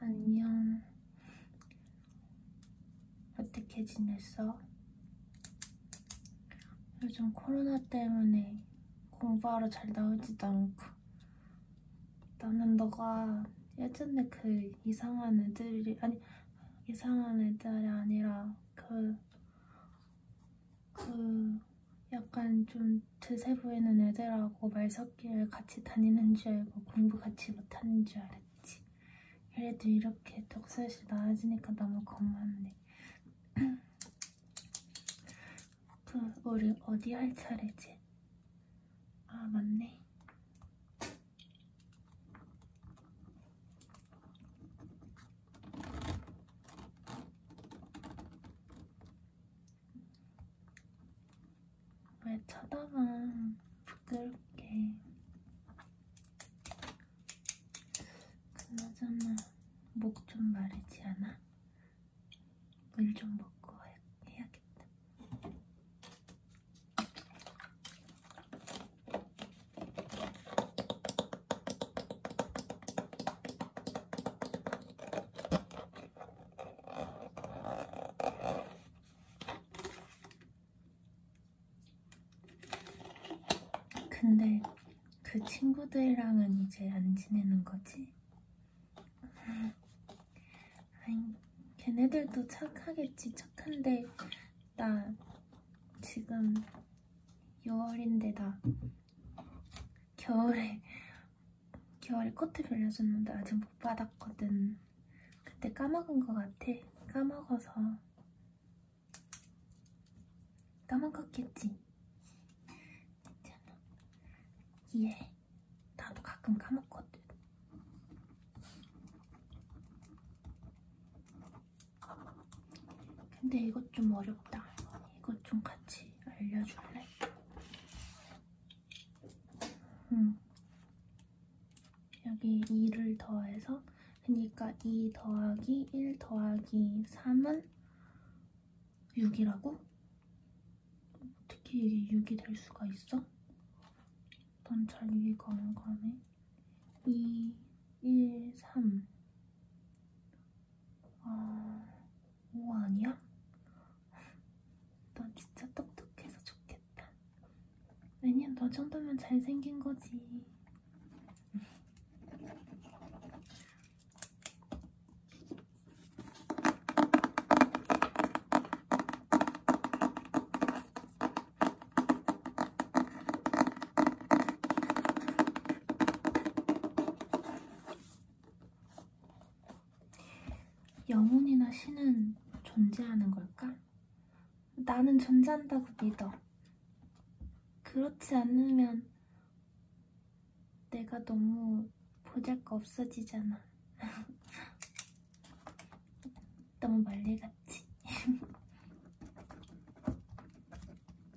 안녕. 어떻게 지냈어? 요즘 코로나 때문에 공부하러 잘 나오지도 않고 나는 너가 예전에 그 이상한 애들이 아니 이상한 애들이 아니라 그그 약간 좀 드세 보이는 애들하고 말 섞기를 같이 다니는 줄 알고 공부 같이 못하는 줄 알았지. 그래도 이렇게 독서실 나아지니까 너무 고맙네. 그 우리 어디 할 차례지? 아 맞네. 왜 쳐다만 부끄럽게 그나저나 목 좀 마르지 않아? 물 좀 먹고 해야겠다 근데 그 친구들이랑은 이제 안 지내는 거지? 아니, 걔네들도 착하겠지, 착한데, 나 지금 6월인데 나 겨울에 겨울에 코트 빌려줬는데 아직 못 받았거든. 그때 까먹은 것 같아. 까먹어서 까먹었겠지. 괜찮아. 이해. 나도 가끔 까먹거든. 근데 이것 좀 어렵다. 이것 좀 같이 알려줄래? 음. 여기 2를 더해서 그러니까 2 더하기 1 더하기 3은 6이라고? 어떻게 이게 6이 될 수가 있어? 난 잘 이해가 안 가네 2, 1, 3 아, 오 아니야? 넌 진짜 똑똑해서 좋겠다. 왜냐면 너 정도면 잘생긴 거지. 영혼이나 신은 존재하는 걸까? 나는 존재한다고 믿어. 그렇지 않으면 내가 너무 보잘거 없어지잖아. 너무 멀리 갔지?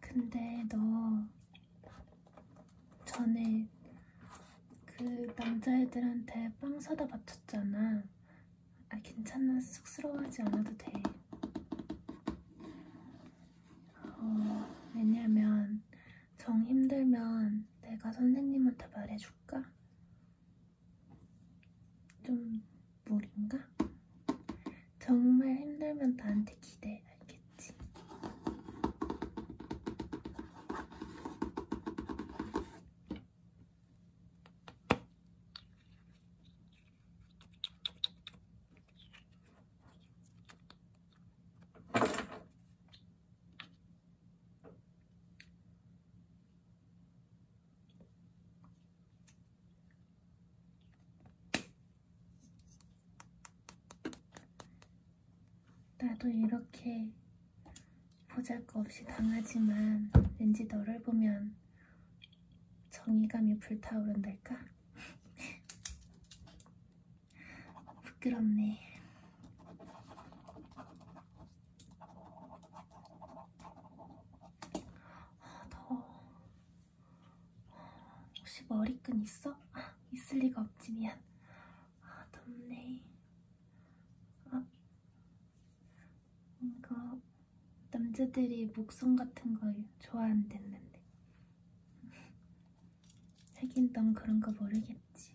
근데 너 전에 그 남자애들한테 빵 사다 바쳤잖아. 아 괜찮아 쑥스러워하지 않아도 돼. 어, 왜냐면 정 힘들면 내가 선생님한테 말해줄까? 좀 무리인가? 정말 힘들면 나한테 기대 알겠지? 나도 이렇게 보잘것없이 당하지만 왠지 너를 보면 정의감이 불타오른달까? 부끄럽네. 아, 더워. 혹시 머리끈 있어? 있을 리가 없지, 미안. 아, 덥네. 아, 이거 남자들이 목성 같은 걸 좋아한댔는데. 하긴 넌 그런 거 모르겠지.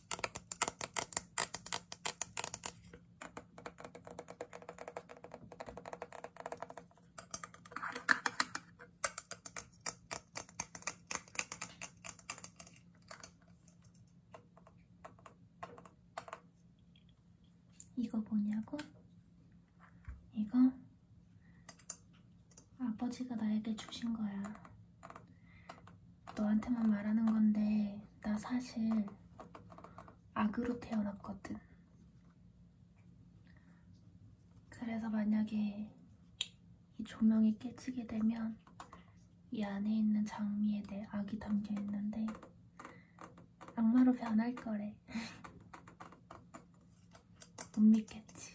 이거 뭐냐고? 이거 아버지가 나에게 주신 거야. 너한테만 말하는 건데 나 사실 악으로 태어났거든. 그래서 만약에 이 조명이 깨지게 되면 이 안에 있는 장미에 내 악이 담겨 있는데 악마로 변할 거래. 못 믿겠지.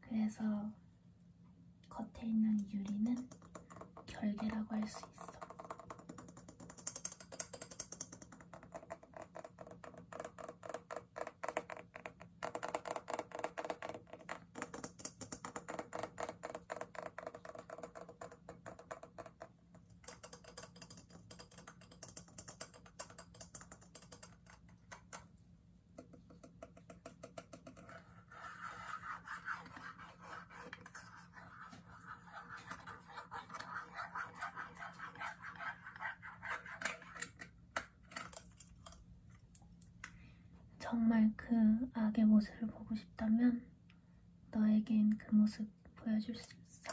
그래서 겉에 있는 유리는 결계라고 할 수 있어. 정말 그 악의 모습을 보고 싶다면 너에겐 그 모습 보여줄 수 있어.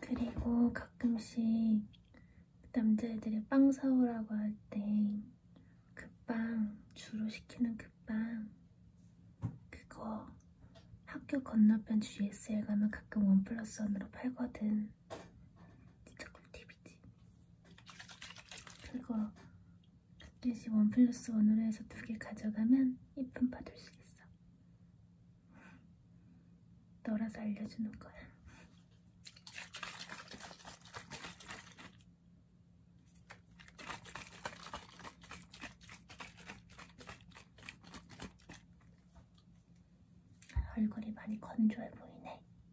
그리고 가끔씩 남자애들이 빵 사오라고 할 때 그 빵 주로 시키는 그 빵 그거 학교 건너편 GSL 가면 가끔 원 플러스 원으로 팔거든 진짜 꿀팁이지 그거 1개씩 원 플러스 원으로 해서 두 개 가져가면 이쁨 받을 수 있어. 너라서 알려주는 거야. 얼굴이 많이 건조해 보이네.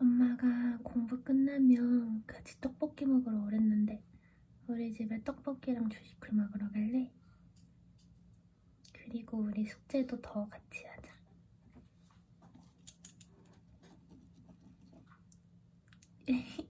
엄마가 공부 끝나면 같이 떡볶이 먹으러 오랬는데 우리 집에 떡볶이랑 주식을 먹으러 갈래? 그리고 우리 숙제도 더 같이 하자.